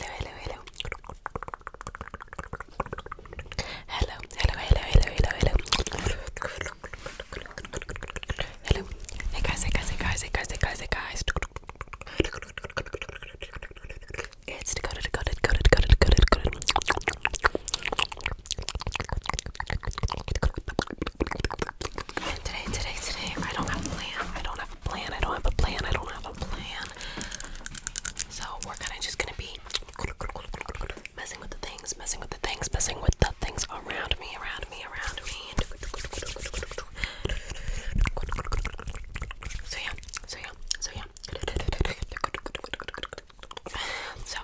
hello, hello. Hello, hello, hello, hello, hello, hello. Hello. Hey guys, hey guys, hey guys, hey guys, hey guys, hey guys. It's got it, got it, got it, got it, got it, got it. Today, today, today, I don't have a plan. I don't have plan. I don't have a plan. I don't have a plan. So we're kind of just gonna be messing with the things, messing with the things, messing with the things around me, around me, around me. So yeah, so yeah, so yeah. So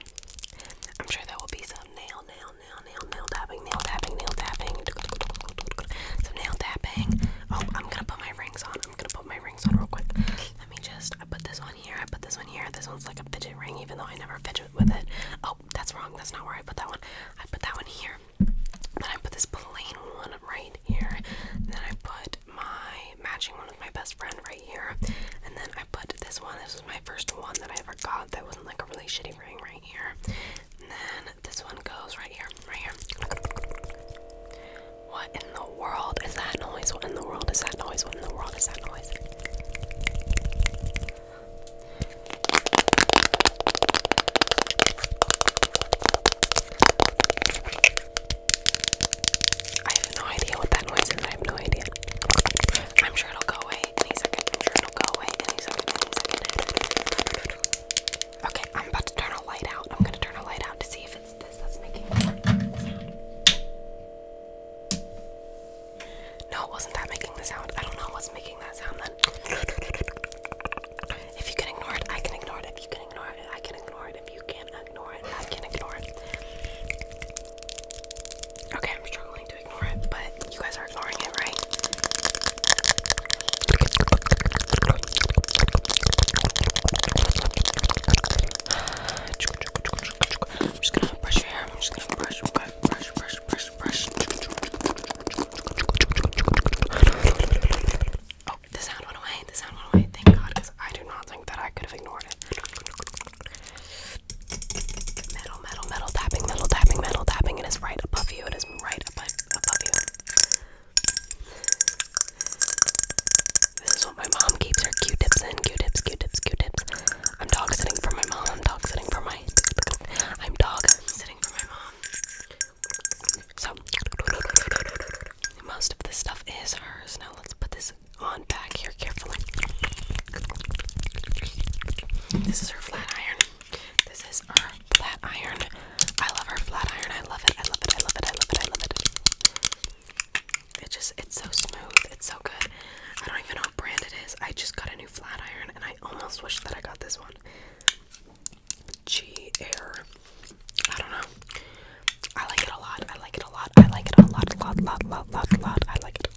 I'm sure that will be some nail, nail, nail, nail, nail tapping, nail tapping, nail tapping. Some nail tapping. Oh, I'm gonna put my rings on. I'm gonna put my rings on real quick. Let me just. I put this one here. I put this one here. This one's like a fidget ring, even though I never fidget with it. Oh, that's wrong. That's not where I put that one. I put that one here. Then I put this plain one right here. then I put my matching one with my best friend right here. And then I put this one. This is my first one that I ever got. That wasn't like a really shitty ring right here. And then this one goes right here, right here. What in the world is that noise? What in the world is that noise? What in the world is that noise? I have no idea what that noise is. I have no idea. I'm sure it'll go away any it'll go away any Okay, I'm about to turn a light out. I'm gonna turn a light out to see if it's this that's making the sound. No, it wasn't that making the sound. I don't know what's making that sound then. If you can ignore it, I can ignore it. If you can ignore it, I can ignore it. If you can ignore it, I can ignore it. Okay, I'm struggling to ignore it, but you guys are ignoring it, right? I'm just gonna brush your hair. I'm just gonna brush, okay? brush, brush, brush, brush. Oh, the sound went away. The sound went away. Thank God, because I do not think that I could have ignored it. Metal, metal, metal tapping, metal tapping, metal tapping. It is right above you. It is right above, above you. This is what my mom keeps her Q-tips in. Q-tips, Q-tips, Q-tips. I'm dog sitting for my mom. I'm dog sitting for my. I'm dog sitting for my mom. So most of this stuff is hers. Now let's put this on back here carefully. This is her flat iron. This is is her flat iron. I love her flat iron. I love it. I love it. I love it. I love it. I love it. It just it's so smooth. It's so good. I don't even know what brand it is. I just got a new flat iron and I almost wish that I got this one. G Air. I don't know. I like it a lot. I like it a lot. I like it a lot. Lot, lot, lot, lot, lot. I like it.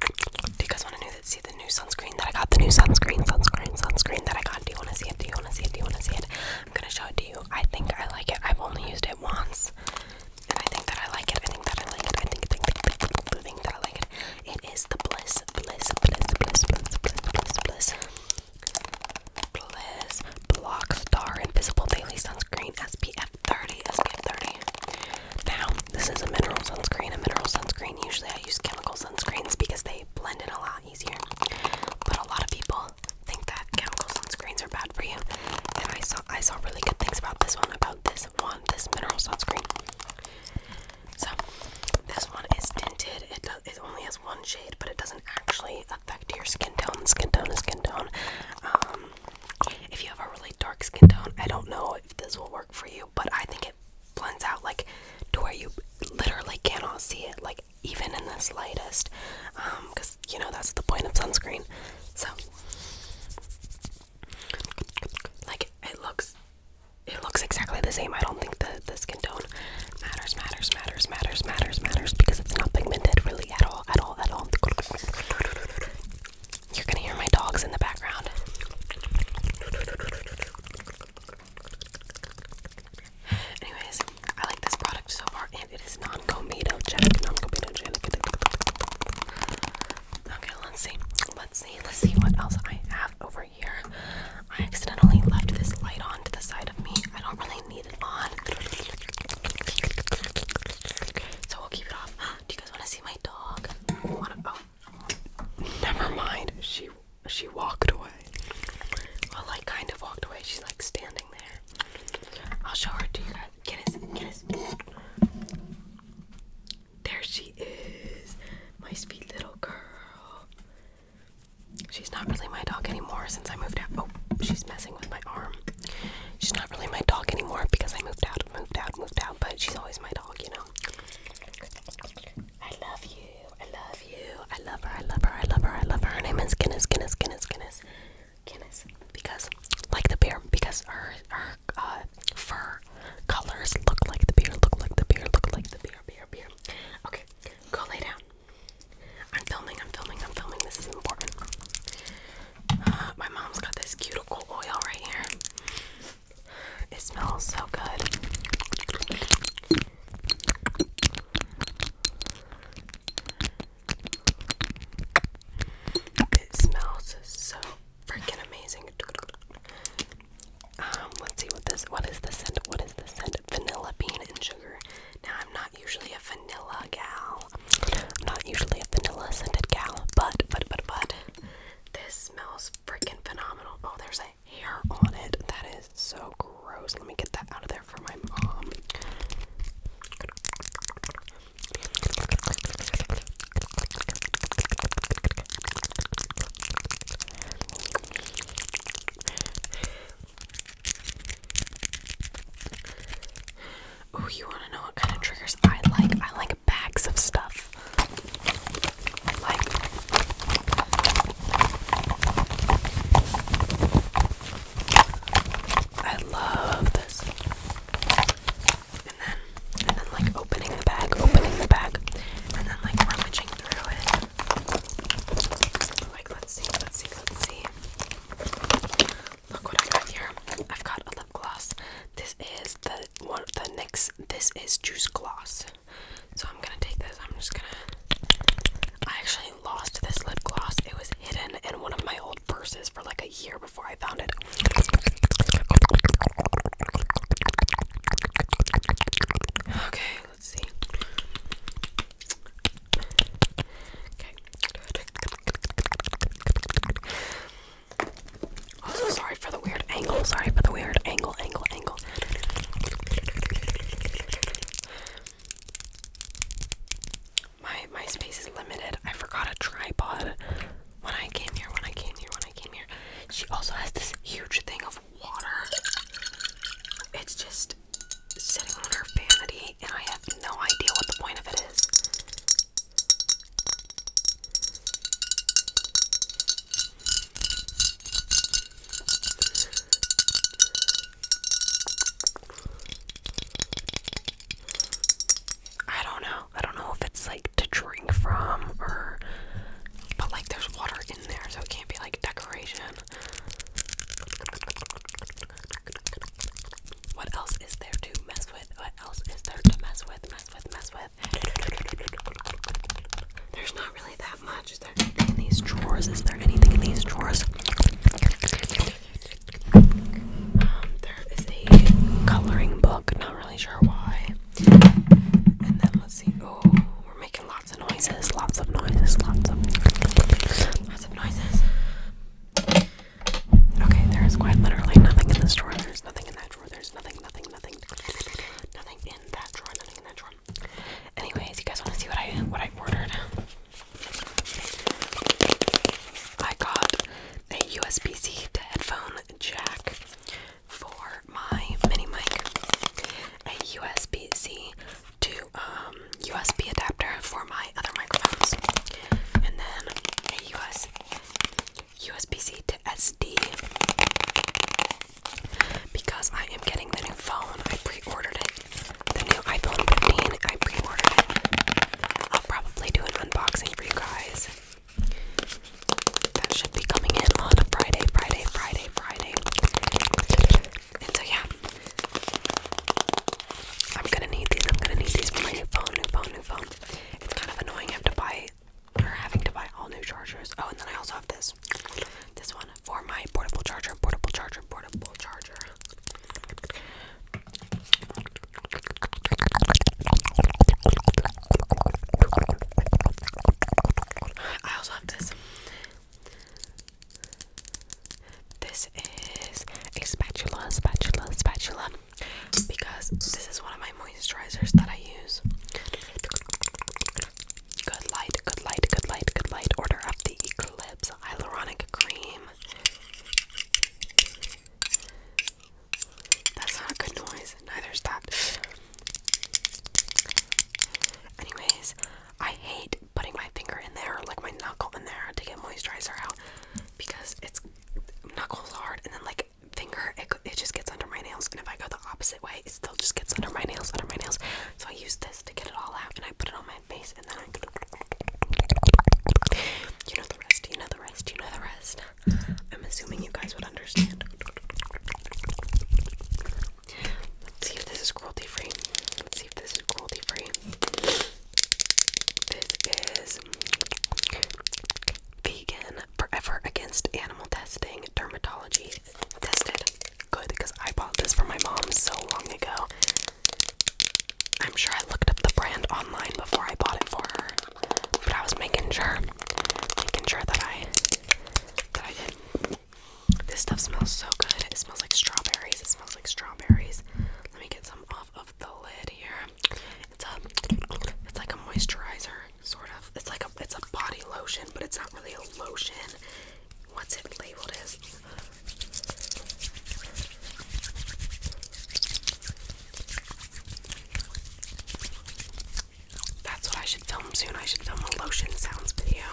Do you guys want to know that, see the new sunscreen that I got? The new sunscreen, sunscreen, sunscreen that I got. Do you want to see it? Do you want to see it? Do you want to see it? I'm going to show it to you. I think I like it. I've only used it once. And I think that I like it. I think that I like it. I think, think, think, think, think that I like it. It is the Bliss, Bliss, Bliss, Bliss, Bliss, Bliss, Bliss, Bliss. Bliss Block Star Invisible Daily Sunscreen SPF 30, SPF 30. Now, this is a mineral sunscreen, a mineral sunscreen. Usually I use chemicals sunscreens because they blend in a lot easier. But a lot of people think that chemicals chemical sunscreens are bad for you. And I saw I saw really good things about this one, about this one, this mineral sunscreen. So this one is tinted. It does, it only has one shade, but it doesn't actually affect your skin tone. Skin tone skin tone. Um, if you have a really dark skin tone, I don't know if this will work for you but I think it blends out like to where you literally cannot see it, like even in the slightest, because um, you know that's the point of sunscreen. So, like it looks, it looks exactly the same. I don't think that this can tone matters, matters, matters, matters, matters, matters because it's not pigmented really at all, at all, at all. You're gonna hear my dogs in the background. Anyways, I like this product so far, and it is non-comedogenic, non-comedogenic. Okay, let's see, let's see, let's see what else I have over here. I accidentally left this light on to the side of me. I don't really need it on, so we'll keep it off. Do you guys want to see my dog? Oh, Never mind. She she walked away. Well, like kind of walked away. She's like standing there. I'll show her to you guys. Guinness, Guinness. There she is, my sweet little girl. She's not really my dog anymore since I moved out. Oh, she's messing with my arm. She's not really my dog anymore because I moved out, moved out, moved out, but she's always my dog, you know. I love you. I love you. I love her. I love her. I love her. I love her. Her name is Guinness. Guinness. Guinness. Guinness. Guinness. Because like the beer. Because her her uh, fur colors look like the beer. Look like the beer. Look like the beer. Beer. Beer. Okay. Go lay down. I'm filming. I'm filming. I'm filming. This is important. Uh, my mom's got this cuticle oil right here. It smells so good. It smells so freaking amazing. Um, let's see what this what is the scent? What is the scent? Vanilla bean and sugar. Now I'm not usually a vanilla gal. I'm not usually a vanilla scented gal, but but but but this smells freaking phenomenal. Oh, there's a hair on it. That is so gross. Let me get that out of there for my mom. Oh, you want to know what kind of triggers I like? I like bags of stuff. I love this. And then and then like opening the bag, opening the bag, and then like rummaging through it. Like let's see, let's see, let's see. Look what I got here. I've got a lip gloss this is the one the next this is juice gloss. So I'm gonna take this, I'm just gonna I actually lost this lip gloss. It was hidden in one of my old purses for like a year before I found it. Okay, let's see. Okay. Also, sorry for the weird angle. Sorry for the weird angle, angle, angle. My my space is limited. I forgot a tripod when I came here. When I came here. When I came here. She also has this huge thing of water. It's just sitting on her vanity, and I have no idea what the point of it is. I don't know. I don't know if it's like to drink from or but like there's water in there so it can't be like decoration. What else is there to mess with? What else is there to mess with? Mess with, mess with. There's not really that much. Is there anything in these drawers? Is there anything in these drawers? Um, there is a coloring book. Not really sure why. And then let's see. Oh, we're making lots of noises. Lots of noises. Lots of lots of noises. Okay, there is quite literally nothing in this drawer. There's nothing in that there's nothing, nothing, nothing, nothing in that drawer. Nothing in that drawer. Anyways, you guys want to see what I what I ordered? I got a USB-C to headphone jack for my mini mic. A USB-C to um, USB adapter for my other microphones, and then a USB USB-C to SD because I am getting the new phone. I pre-ordered it. The new iPhone 15. I pre-ordered it. I'll probably do an unboxing for you guys. That should be coming in on Friday, Friday, Friday, Friday. so yeah. I'm gonna need these. I'm gonna need these for my new phone, new phone, new phone. It's kind of annoying. I to buy are having to buy all new chargers. Oh, and then I also have this. This one for my portable charger, portable charger, portable charger. I also have this. This is a spatula, spatula, spatula. Because this is one of my moisturizers that I use. Good light, good light, good light, good light. Order up the Eclipse Hyaluronic Cream. That's not good noise, neither's that. Anyways, I hate putting my finger in there, like my knuckle in there, to get moisturizer out because it's knuckles hard and then like finger, it, it just gets under my nails. And if I go the opposite way, it still just gets under my nails, under my nails. So I use this to get it all out, and I put it on my face, and then I. You know the rest. You know the rest. You know the rest. I'm assuming you guys would understand. Let's see if this is cruelty free. Let's see if this is cruelty free. This is vegan Forever Against Animal Testing Dermatology Tested. Good, because I bought this for my mom so long ago. I'm sure I looked up the brand online before I bought it for her, but I was making sure, making sure that I, that I did. This stuff smells so good. It smells like strawberries. It smells like strawberries. Let me get some off of the lid here. It's a it's like a moisturizer sort of. It's like a it's a body lotion, but it's not really a lotion. What's it labeled as? That's what I should film soon. I should film a lotion sounds video.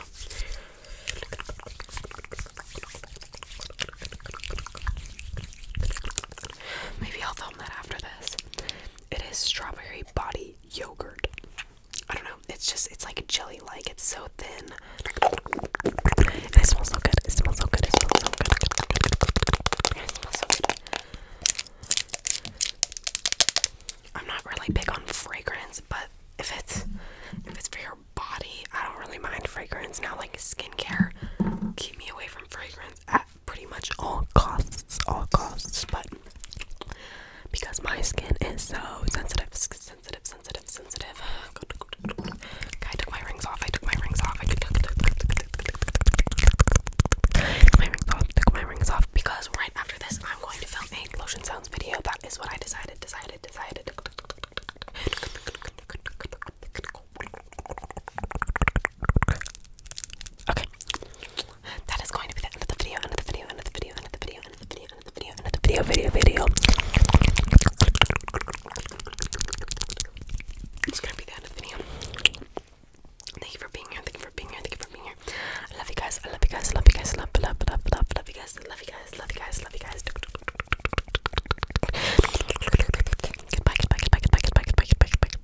Maybe I'll film that after this. It is strawberry body yogurt. I don't know. It's just it's like jelly like. It's so thin. it smells so good. It smells so good. It smells so good. I'm not really big on fragrance, but if it's if it's for your body, I don't really mind fragrance now. Like skincare, keep me away from fragrance pretty much all costs, all costs, but because my skin is so sensitive, sensitive, sensitive, sensitive. Okay, I took my rings off. I took my rings off. I took my rings off. Took my rings off because right after this, I'm going to film a lotion sounds video. That is what I decided. Decided. Decided. Okay that is going to be the end of the video, end video, end video, end video, end video, end video, end video, end video, video, video. It's gonna be the end of the video. Thank you for being here, thank you for being here, thank you for being here. I love you guys, I love you guys, I love you guys, love, love, love, love, love you guys, love you guys, love you guys, love you guys. Goodbye, goodbye, goodbye, goodbye, goodbye, goodbye, goodbye, goodbye,